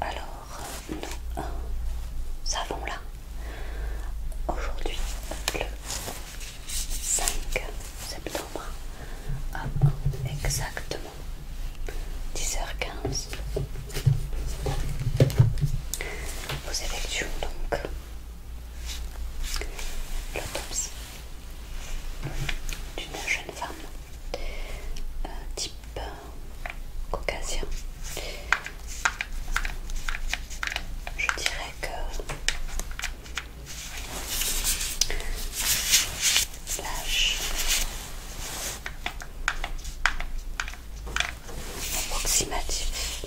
Alors, nous hein, avons là aujourd'hui le 5 septembre à exactement 10h15. Nous effectuons donc L'autopsie d'une jeune femme type euh, caucasien. Je dirais que l'âge approximatif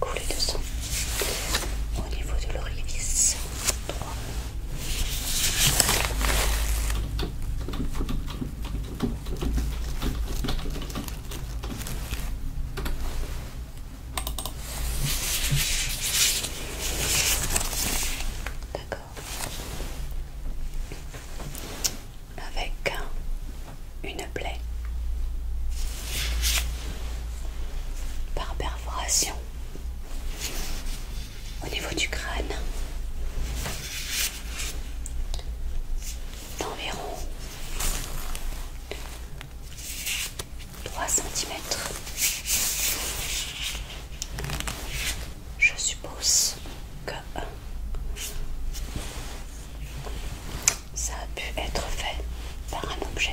Couler de sang au niveau de l'orifice D'accord avec une plaie par perforation au niveau du crâne d'environ 3 cm. Je suppose que ça a pu être fait par un objet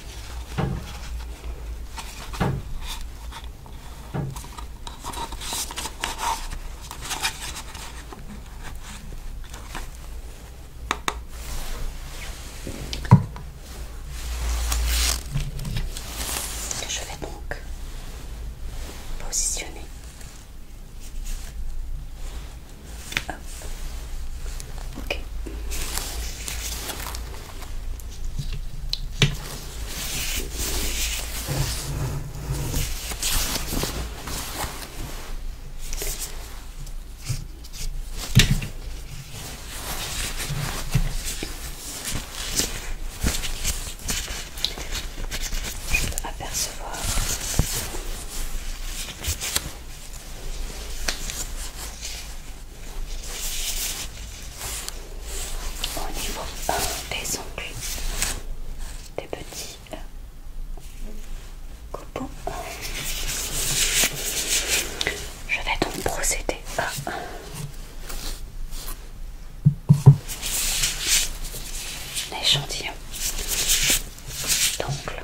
je vais donc positionner je peux apercevoir au niveau des ongles des petits euh, coupons je vais donc procéder à un échantillon d'ongles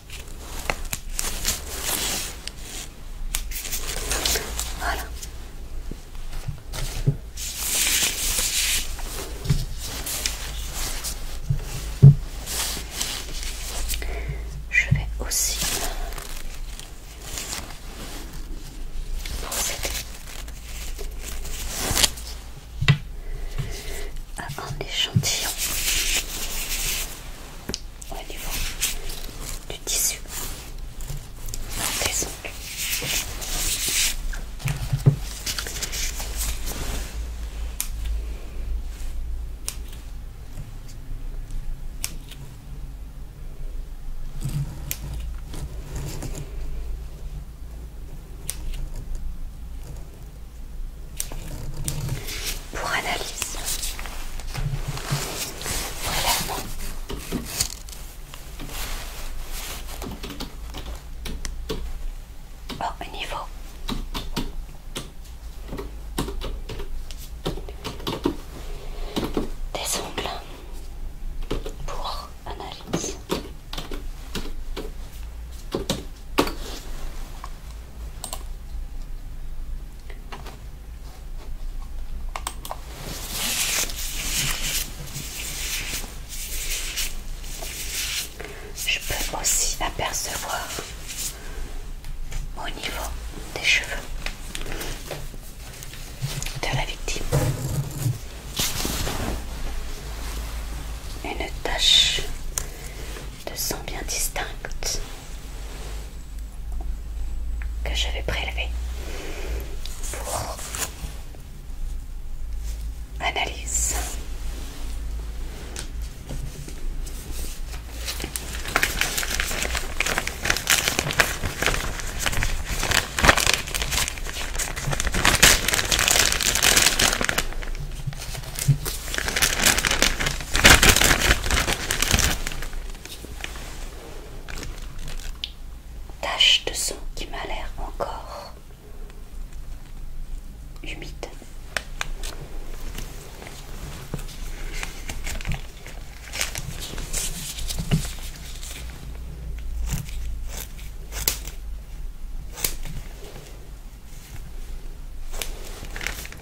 Je vais aussi procéder à un échantillon au niveau du tissu. Des pour analyse. Voilà. niveau. Des ongles pour analyse. Je peux aussi apercevoir au niveau des cheveux de la victime une tache de sang bien distincte que je vais prélever pour analyse. Tache de sang qui m'a l'air encore humide.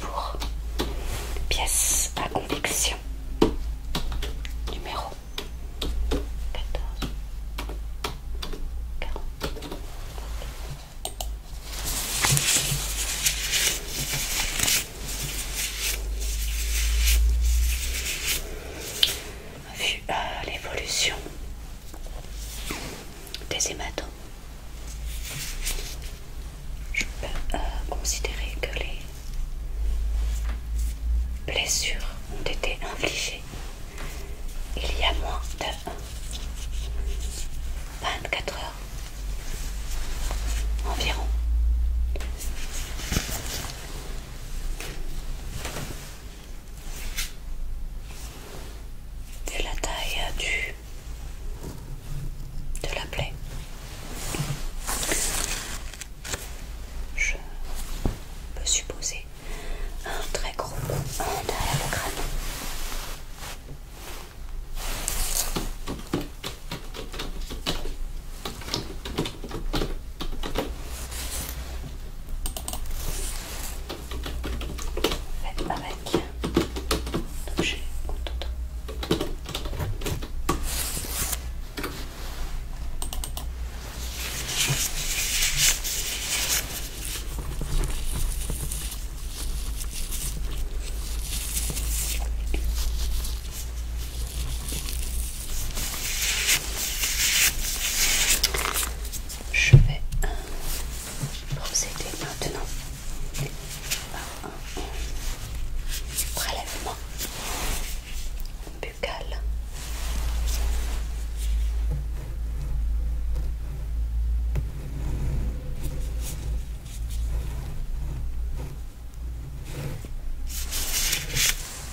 pour pièce à conviction numéro 14 40 vu l'évolution des hématomes. Je peux euh, considérer que les blessures ont été infligées il y a moins de 24 heures environ de la taille du de la plaie je peux supposer un très gros derrière le crâne fait avec l'objet contente je vais euh, procéder maintenant par un prélèvement buccal.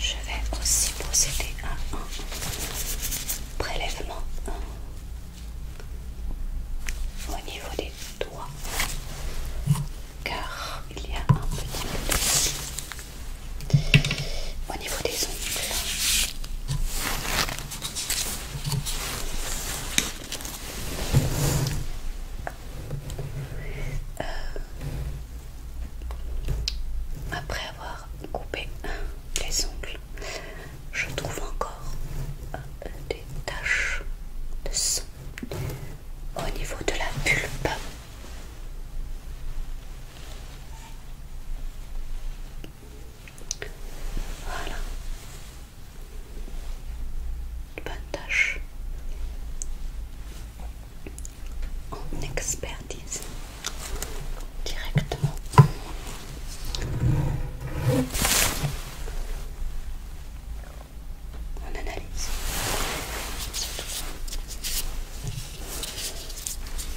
Je vais aussi procéder à un prélèvement hein, au niveau des doigts car il y a un petit peu au niveau des ongles euh, après avoir coupé les ongles, je trouve encore euh, des taches de sang au niveau de la pulpe. Voilà. Une bonne tâche. On expertise directement. On analyse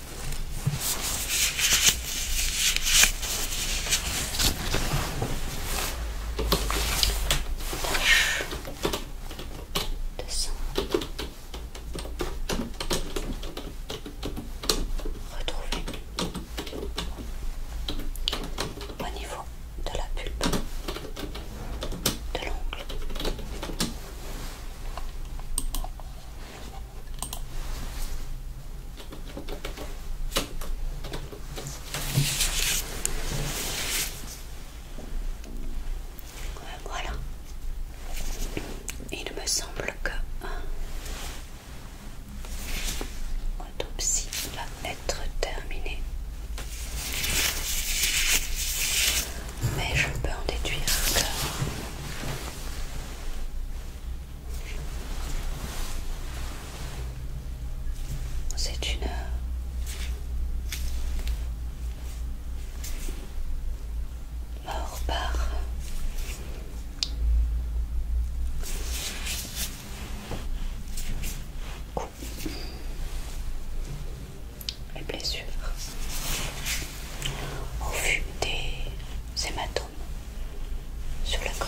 retrouver au niveau de la pulpe de l'ongle. Voilà. Il me semble que hein, l'autopsie va être terminée. Mais je peux en déduire que c'est une... Mort par les blessures au vu des hématomes sur la corde